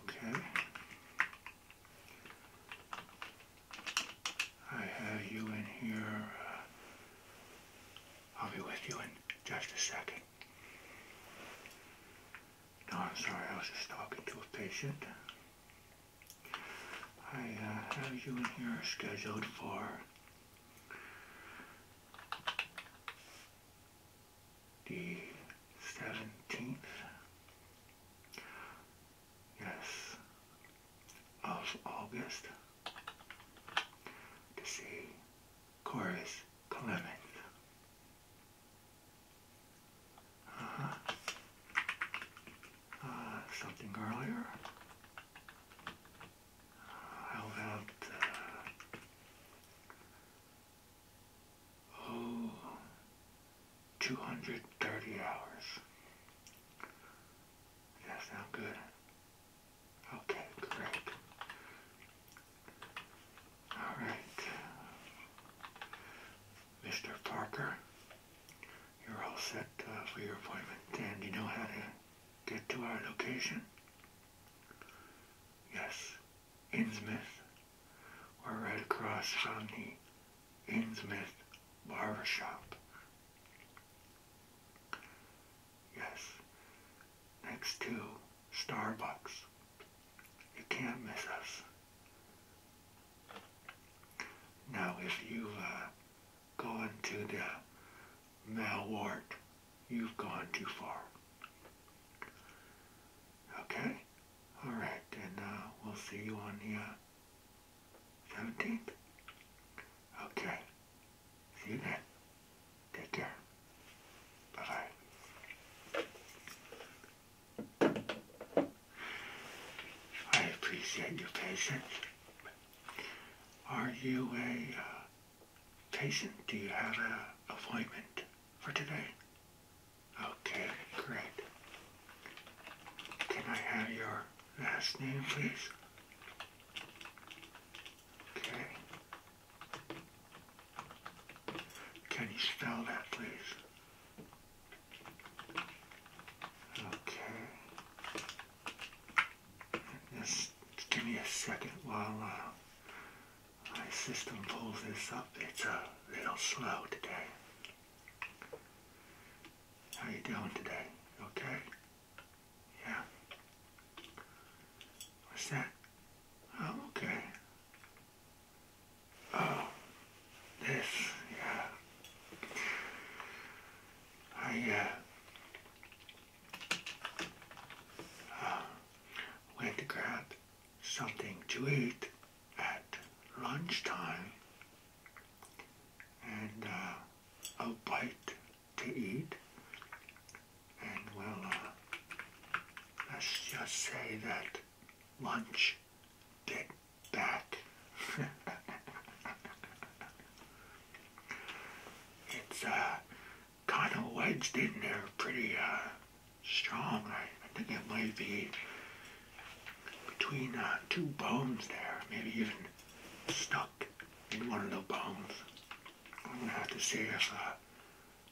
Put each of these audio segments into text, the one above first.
Okay. I have you in here. Uh, I'll be with you in just a second. No, I'm sorry, I was just talking to a patient. I uh, have you in here scheduled for the 17th, yes, of August to see Chorus Clement. Uh-huh. Uh, something earlier how about 230 hours. That sounds good? Okay, great. All right. Mr. Parker, you're all set uh, for your appointment. And you know how to get to our location? Yes, Innsmouth. We're right across from the Innsmouth Barber Shop. Yes, next to Starbucks. You can't miss us. Now, if you uh, go into the Malwart, you've gone too far. Okay? Alright, and uh, we'll see you on the uh, 17th. Okay. See you then. Take care. Bye-bye. I appreciate your patience. Are you a... Uh, Jason, do you have an appointment for today? Okay, great. Can I have your last name, please? Okay. Can you spell that, please? Okay. Just give me a second while uh, my system pulls this up. It's a uh, little slow today. How you doing today? Okay? Yeah. What's that? Oh, okay. Oh, this, yeah. I, uh, went to grab something to eat at lunchtime and uh, a bite to eat. And well, uh, let's just say that lunch bit back. it's uh, kind of wedged in there pretty uh, strong. I, I think it might be between uh, two bones there, maybe even stuck in one of the bones. I'm gonna have to see if uh,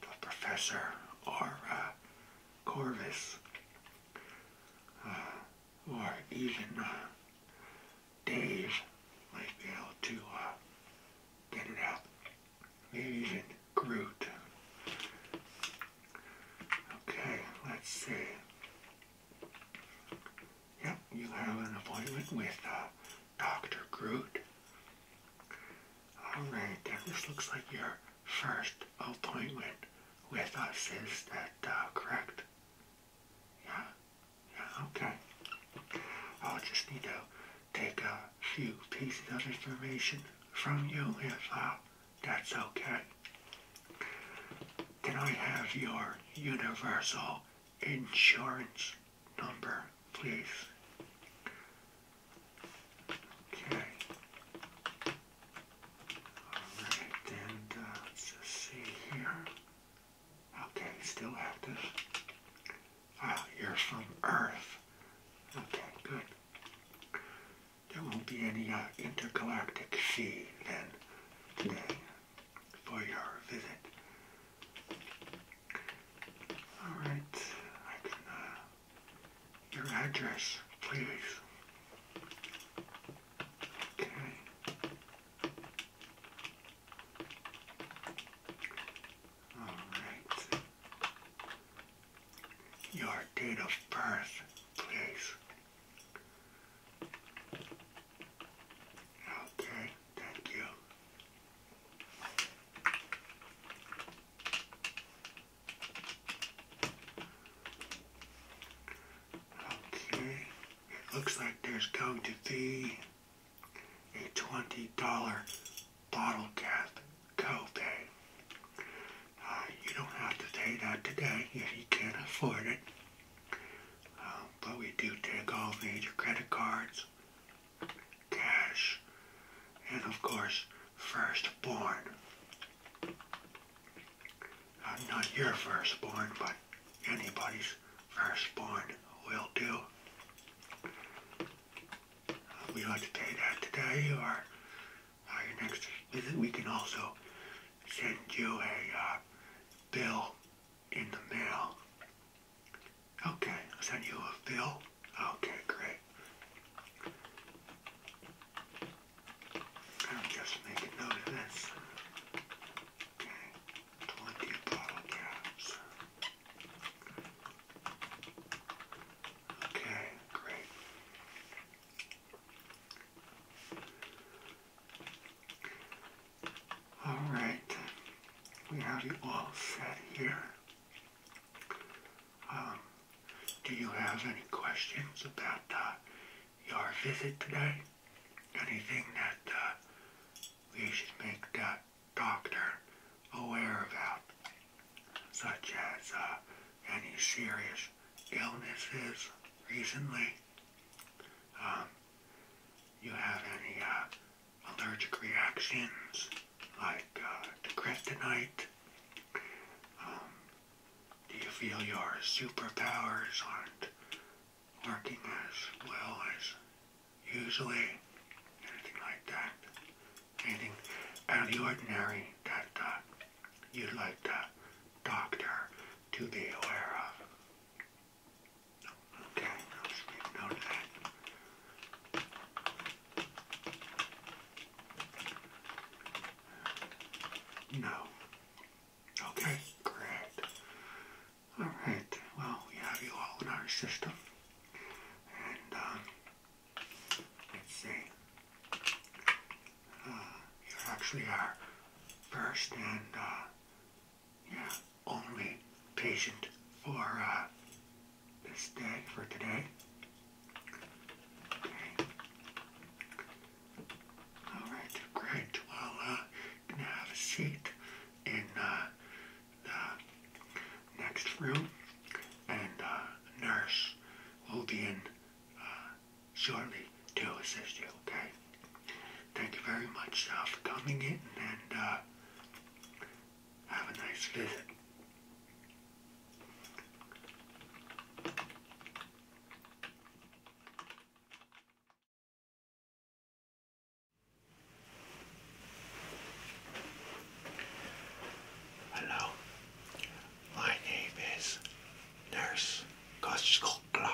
the professor or uh, Corvus uh, or even uh, Dave might be able to uh, get it out. Ladies Groot. Okay, let's see. Yep, you have an appointment with uh, Dr. Groot. Alright, then this looks like your first appointment with us. Is that uh, correct? Yeah? Yeah, okay. I'll just need to take a few pieces of information from you if uh, that's okay. Can I have your universal insurance number, please? Okay. Alright, and uh, let's just see here. Okay, still active you're from Earth. Okay, good. There won't be any uh, intergalactic sea then today for your visit. All right, uh, your address, please. Okay. Your date of birth, please. Okay, thank you. Okay, it looks like there's going to be a $20 bottle cap copay. Uh, you don't have to pay that today if you can't afford it. Uh, but we do take all major credit cards, cash, and of course, firstborn. Uh, not your firstborn, but anybody's firstborn will do we ought to pay that today or uh, next visit. We can also send you a uh, bill in the mail. Okay, I'll send you a bill. Okay, great. I'll just make note of this. Okay, 20 bottle Okay, great. All right, we have it all set here. Um, do you have any questions about uh, your visit today? Anything that uh, we should make that uh, doctor aware about, such as uh, any serious illnesses recently. Um, you have any uh, allergic reactions like uh, to kryptonite? Um, do you feel your superpowers aren't working as well as usually anything like that, anything out of the ordinary that uh, you'd like the doctor to be aware of. Okay, I'll just make note of that. No. Okay, great. All right. Well, we have you all in our system, and uh, let's see. Uh, you actually are first and uh, yeah, only patient for this day for today. All right. Great. Well, uh, you have a seat in. Uh, next room, and uh, nurse will be in uh, shortly to assist you, okay? Thank you very much for coming in, and have a nice visit. Hello, my name is Nurse Koskokla,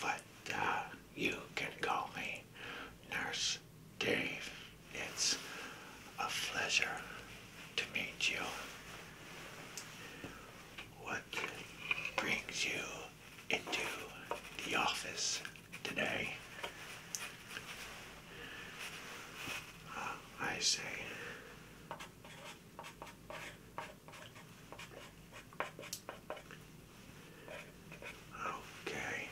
but uh, you can call me Nurse Dave. It's a pleasure to meet you. What brings you into the office today. Uh, I say. Okay.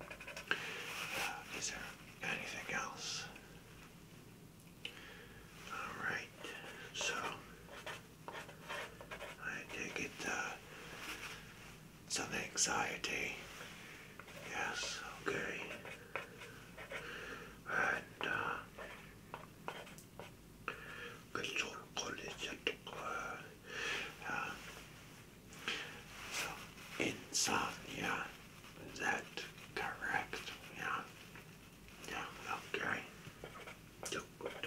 Uh, is there anything else? All right. So I take it uh, some anxiety. Yes, okay. And good uh, sort of college so uh, uh, insomnia, is that correct? Yeah. Yeah, okay. So what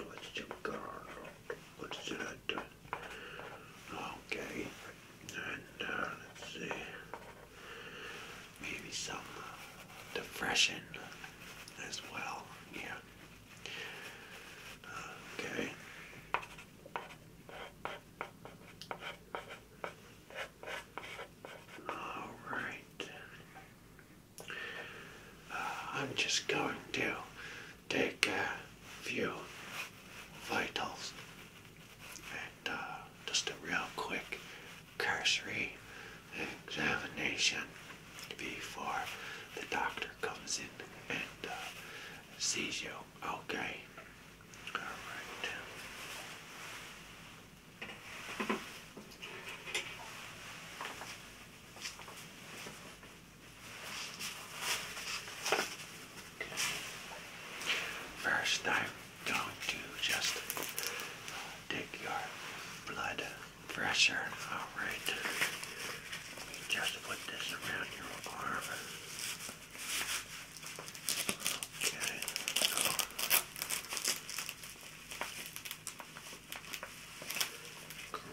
should I Okay, and uh, let's see, maybe some depression as well. Yeah. Okay. All right. Uh, I'm just going to take a few vitals and uh, just a real quick cursory examination before the doctor comes in and uh, sees you. Okay. All right. First, I'm going to just take uh, your blood pressure. All right. Let me just put this around your arm. Okay.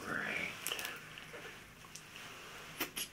Great.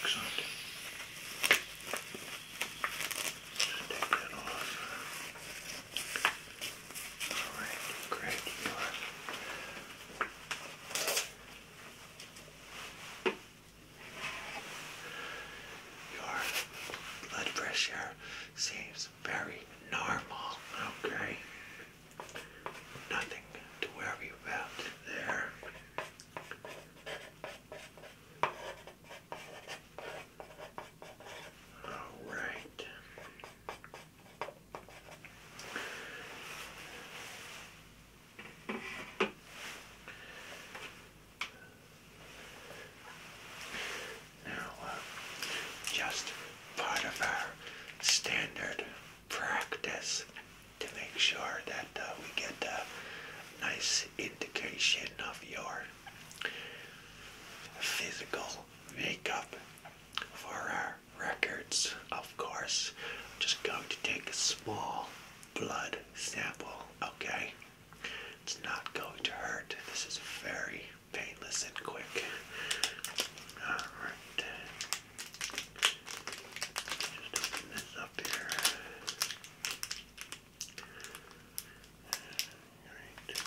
Excellent. take that off. All right, great. You Your blood pressure seems very normal, okay? Nothing to worry about there. All right. Now, uh, just part of our standard practice to make sure that uh, we get a nice indication of your physical makeup for our records, of course. I'm just going to take a small blood sample, okay? It's not going to hurt. This is very painless and quick. Alright. Just open this up here. Alright. There we go.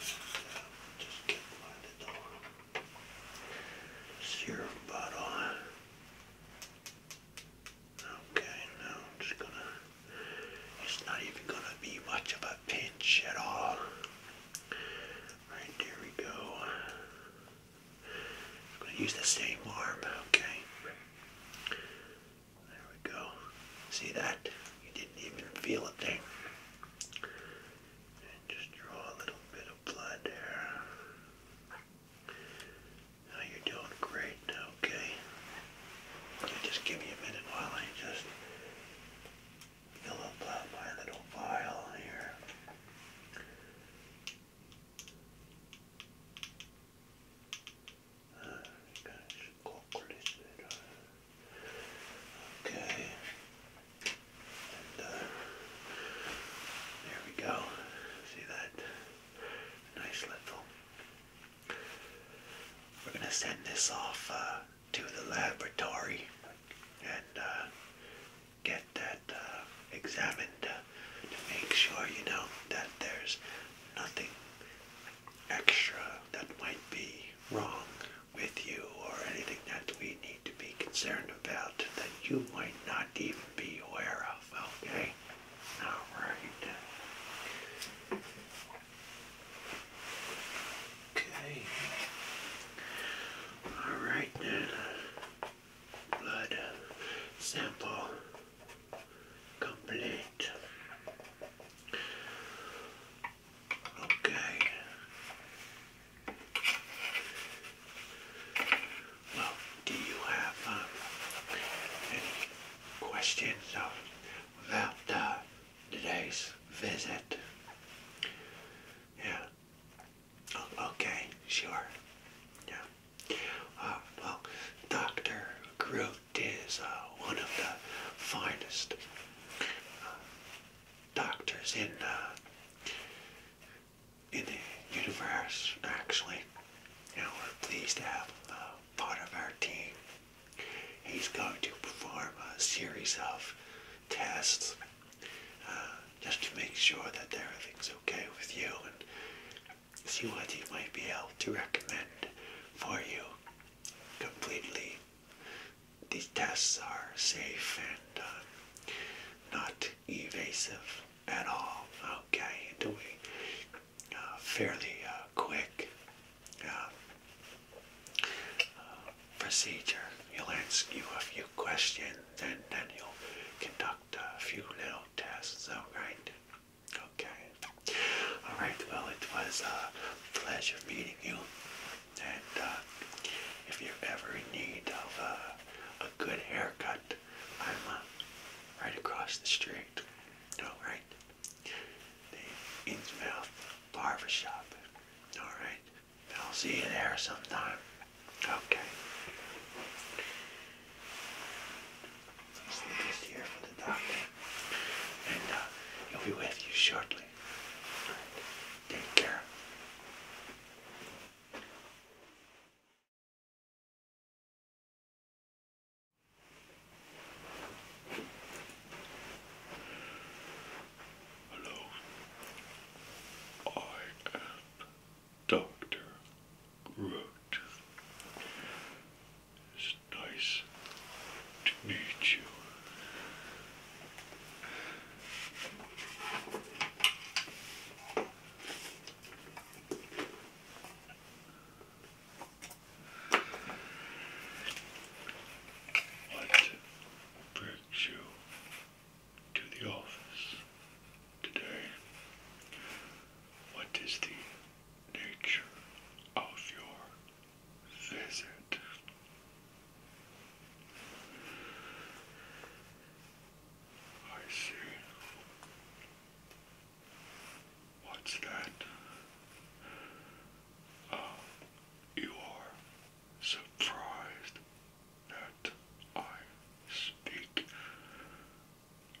Just get by the door. Serum bottle. Okay, now I'm just gonna, it's not even gonna be much of a pinch at all. Right, there we go. I'm gonna use the same arm, okay? There we go. See that? You didn't even feel a thing. And just draw a little bit of blood there. Now you're doing great, okay? just give me a minute while I just fill up my little vial here. Uh, uh, okay. Uh, there we go. See that? Nice little. We're going to send this off uh, to the laboratory and uh, get that examined to make sure, you know, that there's nothing extra that might be wrong with you or anything that we need to be concerned about that you might not even be aware of, okay? Alright. Okay. Alright then. Blood sample complete. Okay. Well, do you have uh, any questions about uh, today's visit? Yeah. Oh, okay, sure. Yeah. Uh, well, Dr. Groot is uh, one of the finest doctors in uh, in the universe, actually. And we're pleased to have him part of our team. He's going to perform a series of tests uh, just to make sure that everything's okay with you and see what he might be able to recommend for you completely. These tests are safe and uh, not evasive at all. Okay, doing uh, fairly uh, quick uh, uh, procedure. He'll ask you a few questions, and then he'll conduct a few little tests. All right. Okay. All right. Well, it was a pleasure meeting you, and if you're ever in need of a good haircut, I'm uh, right across the street. Alright? The Innsmouth Barbershop. Alright? I'll see you there sometime. Okay. This here for the doctor. And uh, he'll be with you shortly. Take care. Hello, I am Dr. Root. It's nice to meet you. What brings you to the office today? What is the nature of your visit? I see. What's that? Uh, you are surprised that I speak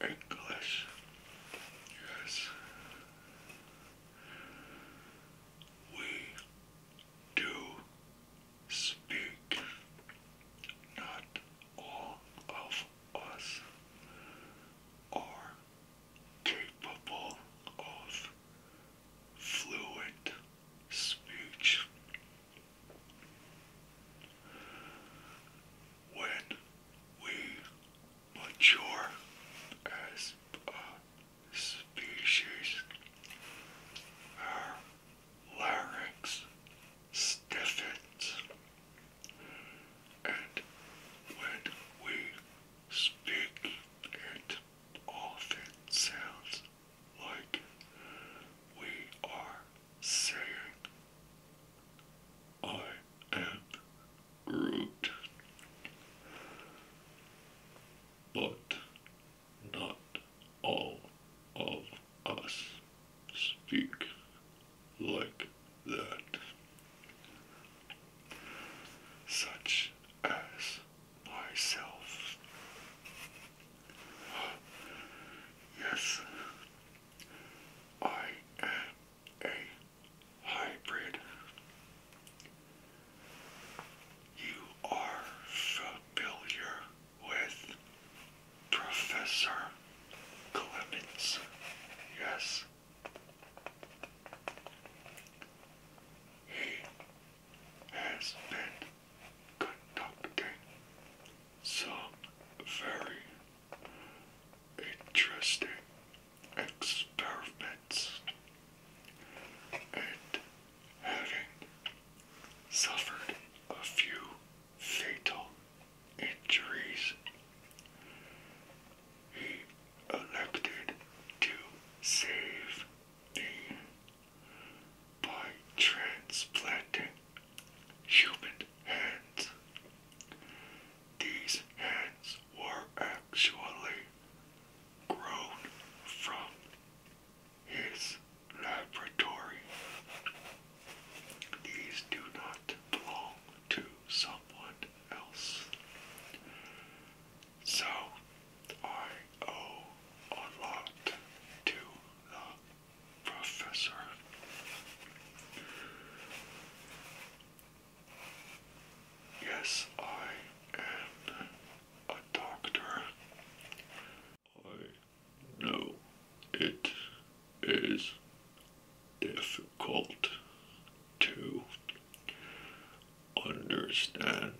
English. Yes. We do speak. Not all of us are capable of fluent speech. When we mature as a species, our larynx stiffens, and when we speak, it often sounds like we are saying, I am Groot. But not all of us speak like that, such as myself. Yes, I am a hybrid. You are familiar with Professor Clemens. Yes. He has been conducting some very interesting experiments and having suffered a few fatal injuries, he elected to save me by transplanting human hands. These hands were actually grown from his laboratory. These do not belong to someone else. So I owe a lot to the professor. Yes, I am a doctor, I know it is difficult to understand,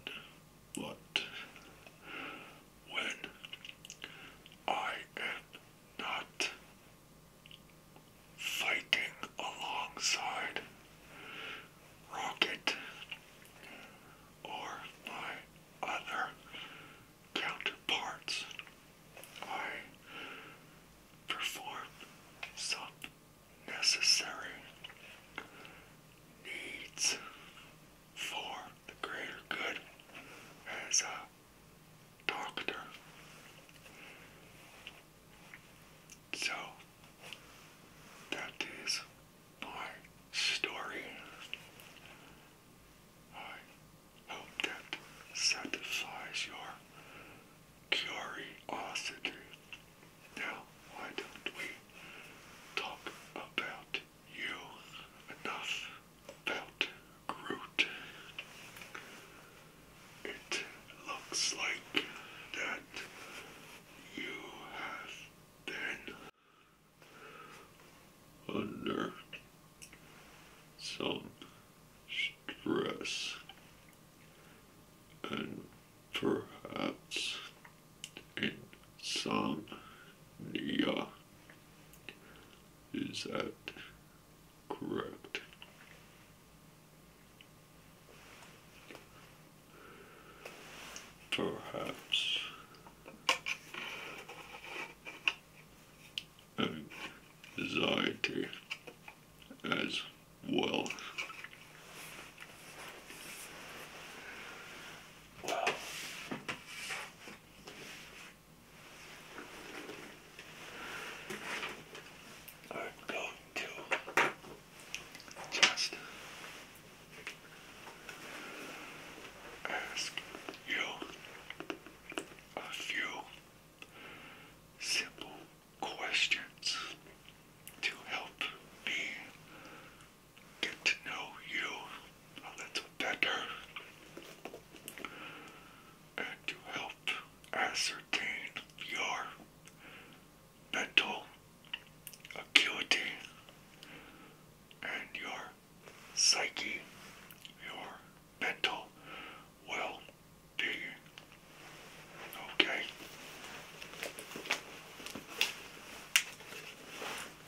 but when I am not fighting alongside Rocket or my other counterparts. I perform some necessary needs for the greater good as a doctor. So, that is my story. I hope that satisfies your curiosity. Now, why don't we talk about you enough about Groot? It looks like that you have been under some stress and perhaps insomnia. Is that correct? Perhaps anxiety as well. Wow. going to just ask you a few simple questions to help me get to know you oh, a little better and to help ascertain your mental acuity and your psyche, your mental well being. Okay?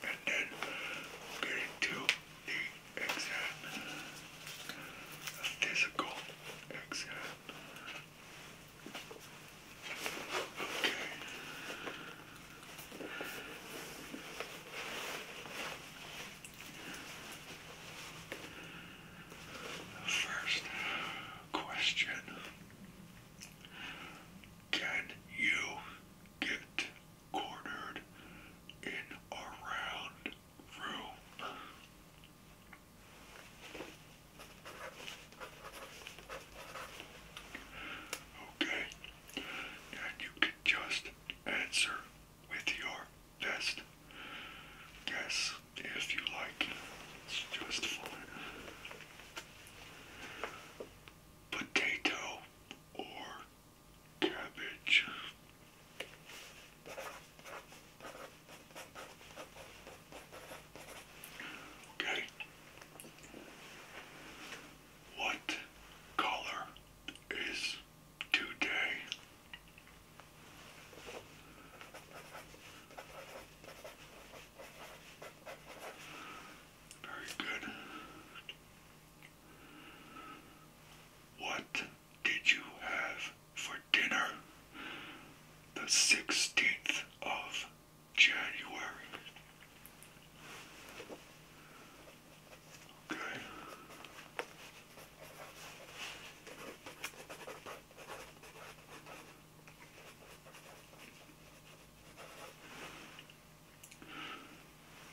And then we'll the exam, the physical exam. Okay. First question Can you get cornered in a round room? Okay and you can just answer with your best guess if you like. It's just fine. Potato or cabbage. Okay. What color is today? Very good. What did you have for dinner the 16th of January? Okay.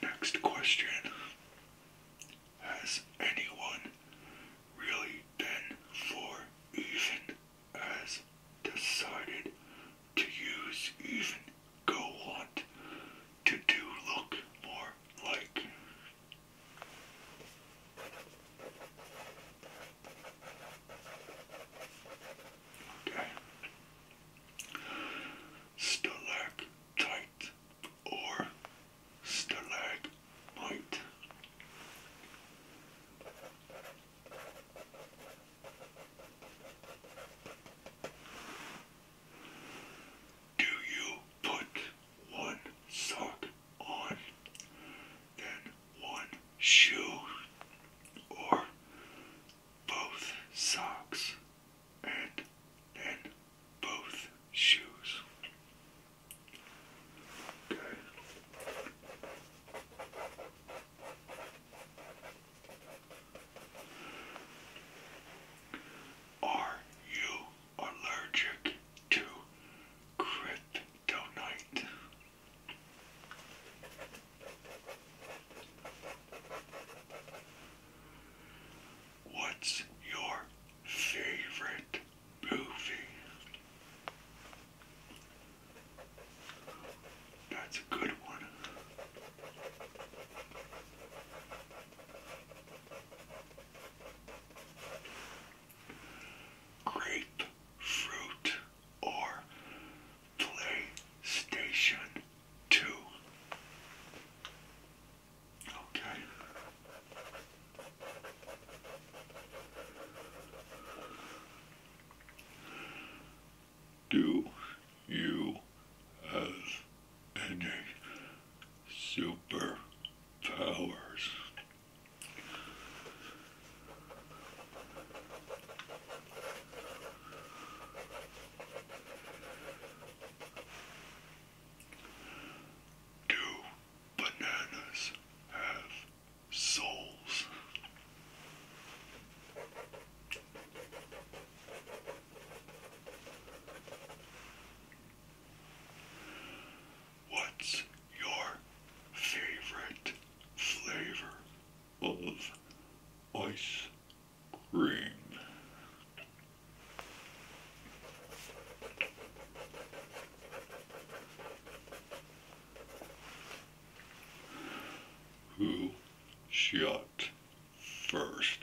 Next question. Has anyone really been for even as decided to use even go on to do look more like. Okay. Stalactite or stalagmite. Do you put one sock on, then one shoe, or both socks and then both shoes? Okay. Are you allergic to kryptonite? What's your favorite movie? That's a good one. Grapefruit 2. Okay do you have any superpowers? Do bananas have souls? What's your favorite flavor of ice cream? Who shot first,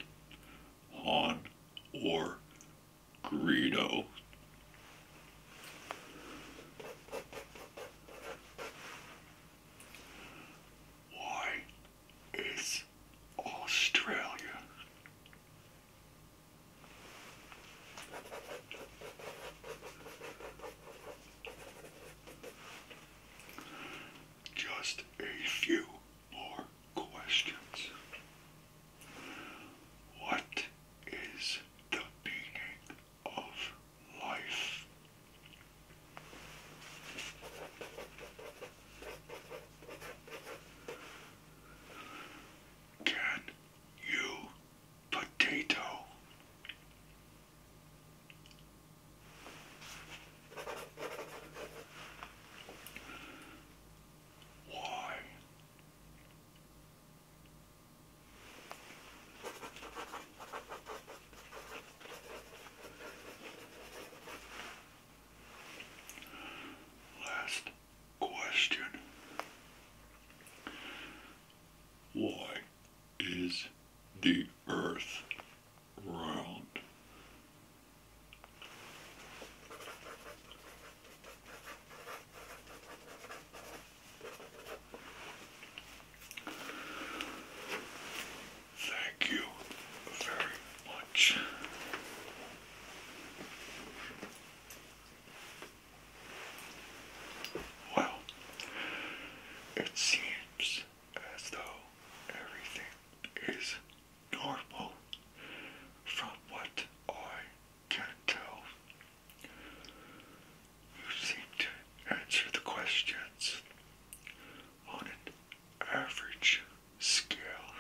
Han or Greedo. Why is Australia? just a few more questions. What is the meaning of life? Can you potato? Why? Last question. Why is the earth round. Thank you very much. Well, it seems as though everything is normal from what I can tell. You seem to answer the questions on an average scale,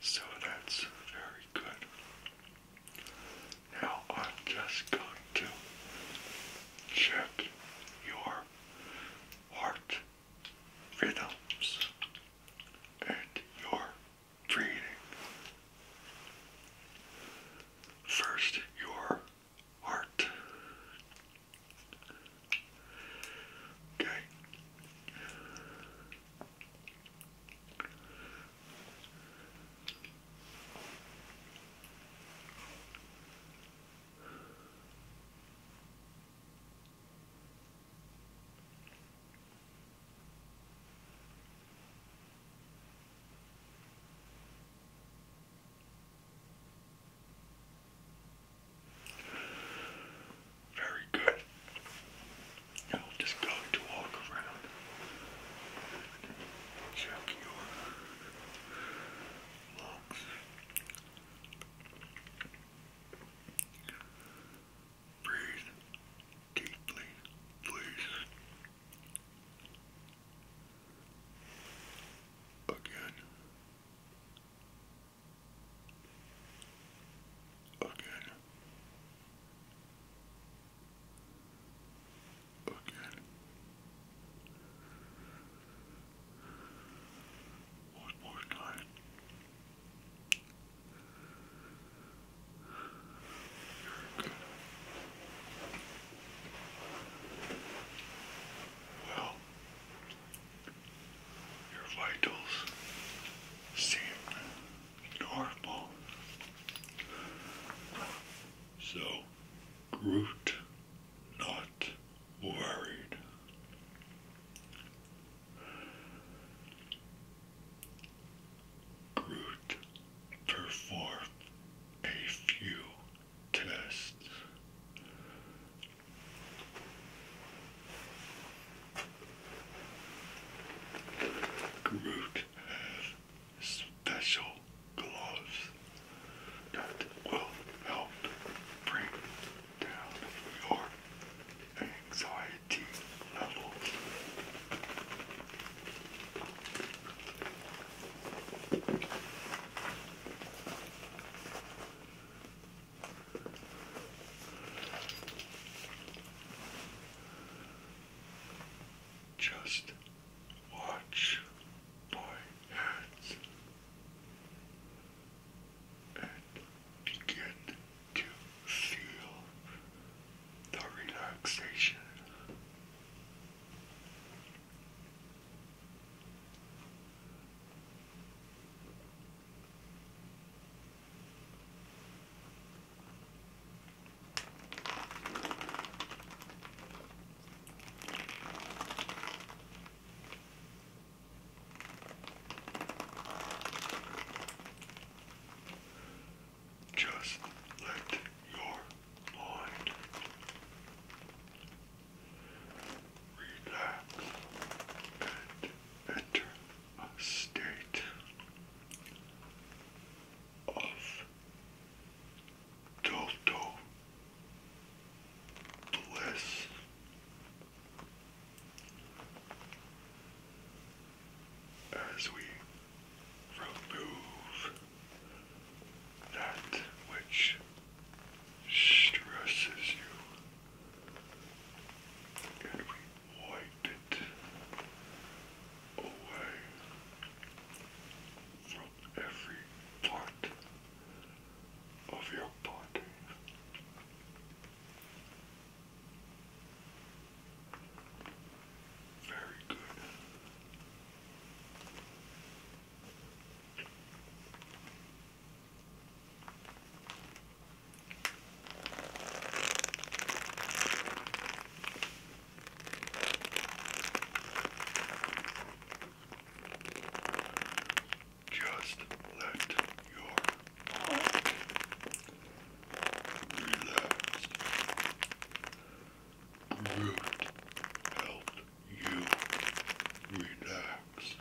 so that's very good. Now I'm just going to check your heart rhythms and your breathing. First, your heart. Okay. Very good. I'll just go to walk around. Check your lungs. Breathe deeply, please. Again. Again. Again. One more time. Well, your vitals seem normal. So, Groot not worried. Groot performed a few tests. Groot has special gloves that will help bring down your anxiety levels. Just watch my hands and begin to feel the relaxation. Just let your mind relax and enter a state of total Bless. As we remove that which stresses you, and we wipe it away every part of your body. Very good. Just let your mind relax. Groot helped you relax.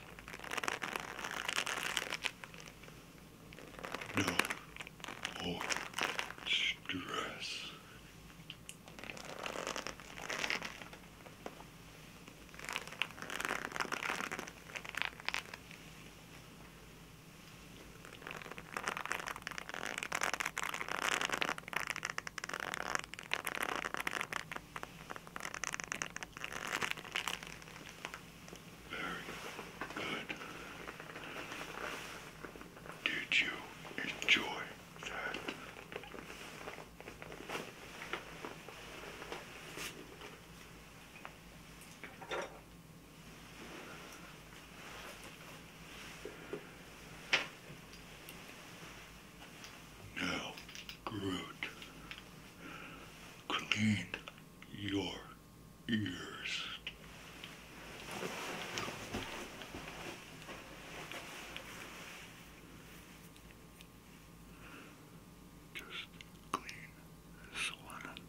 No more stress. Very good. Did you enjoy now, Groot, clean your ears. Just clean this one up.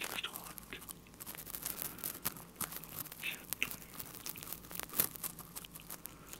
Just want to gently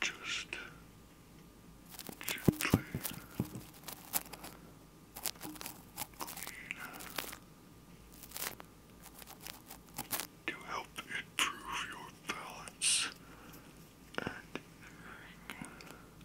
Just gently clean to help improve your balance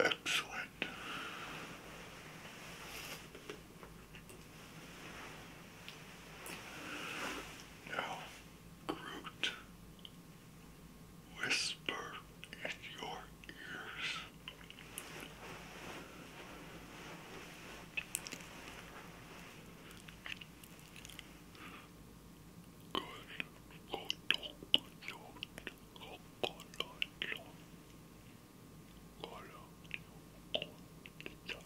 Excellent. Now Groot whisper in your ears. Good. Good.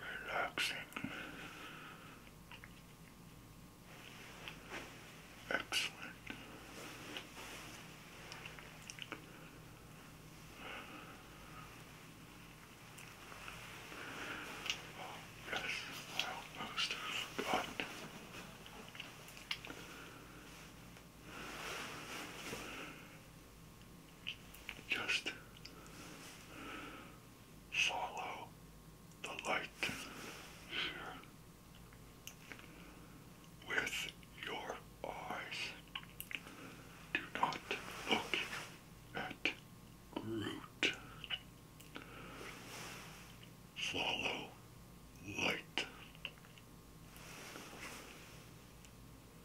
relaxing, excellent. Oh, yes, almost forgot just follow the light with your eyes. Do not look at Groot. Follow light.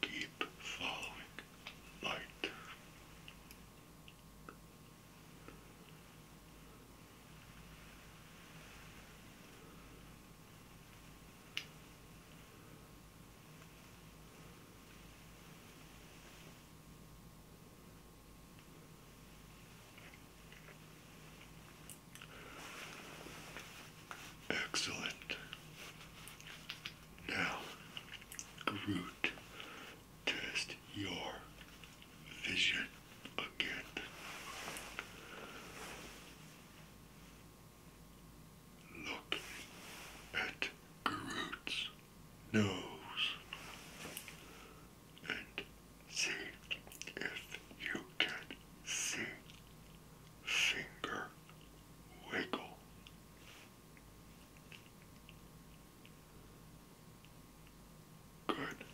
Keep following light. Excellent. Now, Groot, test your vision again. Look at Groot's nose and see if you can see finger wiggle. Good.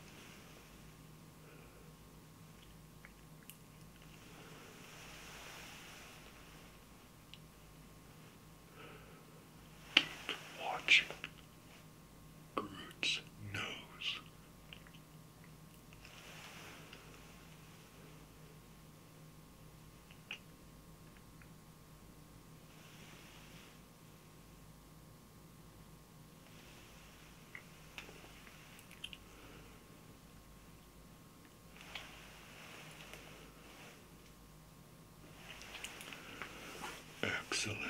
Keep watching Groot's nose. Excellent.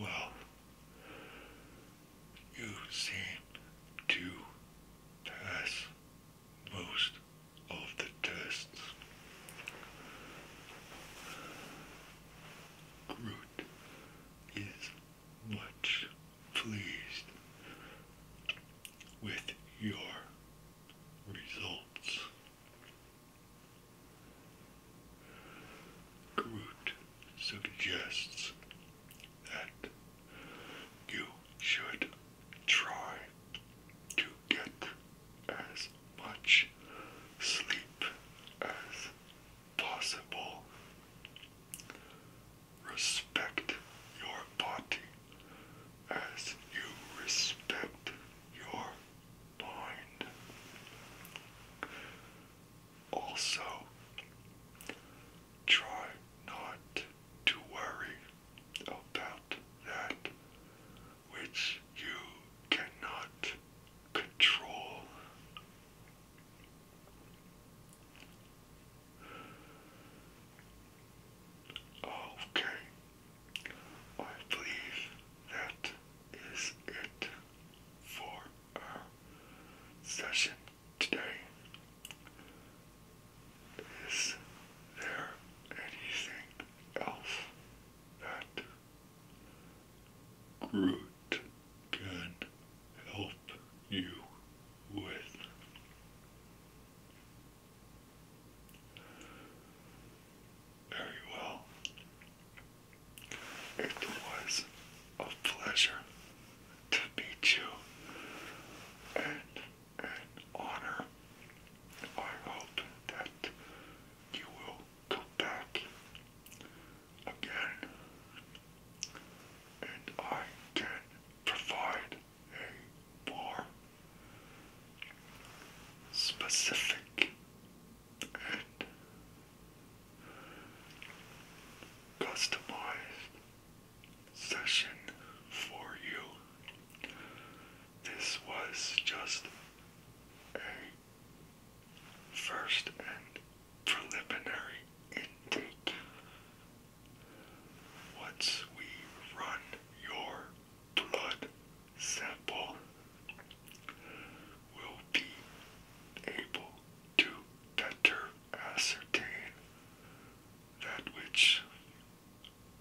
Well, you've seen pass most of the tests. Groot is much pleased with your results. Groot suggests that you should try to get as much sleep as possible. Respect your body as you respect your mind. Also, try not to worry about that which you cannot control. Okay, I believe that is it for our session today is there anything else that Groot can help you with? Very well. It was a pleasure to meet you, and and honor. I hope that you will come back again and I can provide a more specific and customized session for you. This was just a first and preliminary intake. Once we run your blood sample, we'll be able to better ascertain that which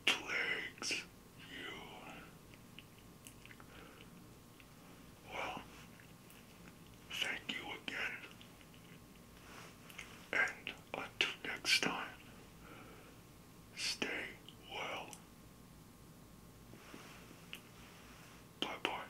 plagues you. Well, thank you again, and until next time, stay well. Bye bye.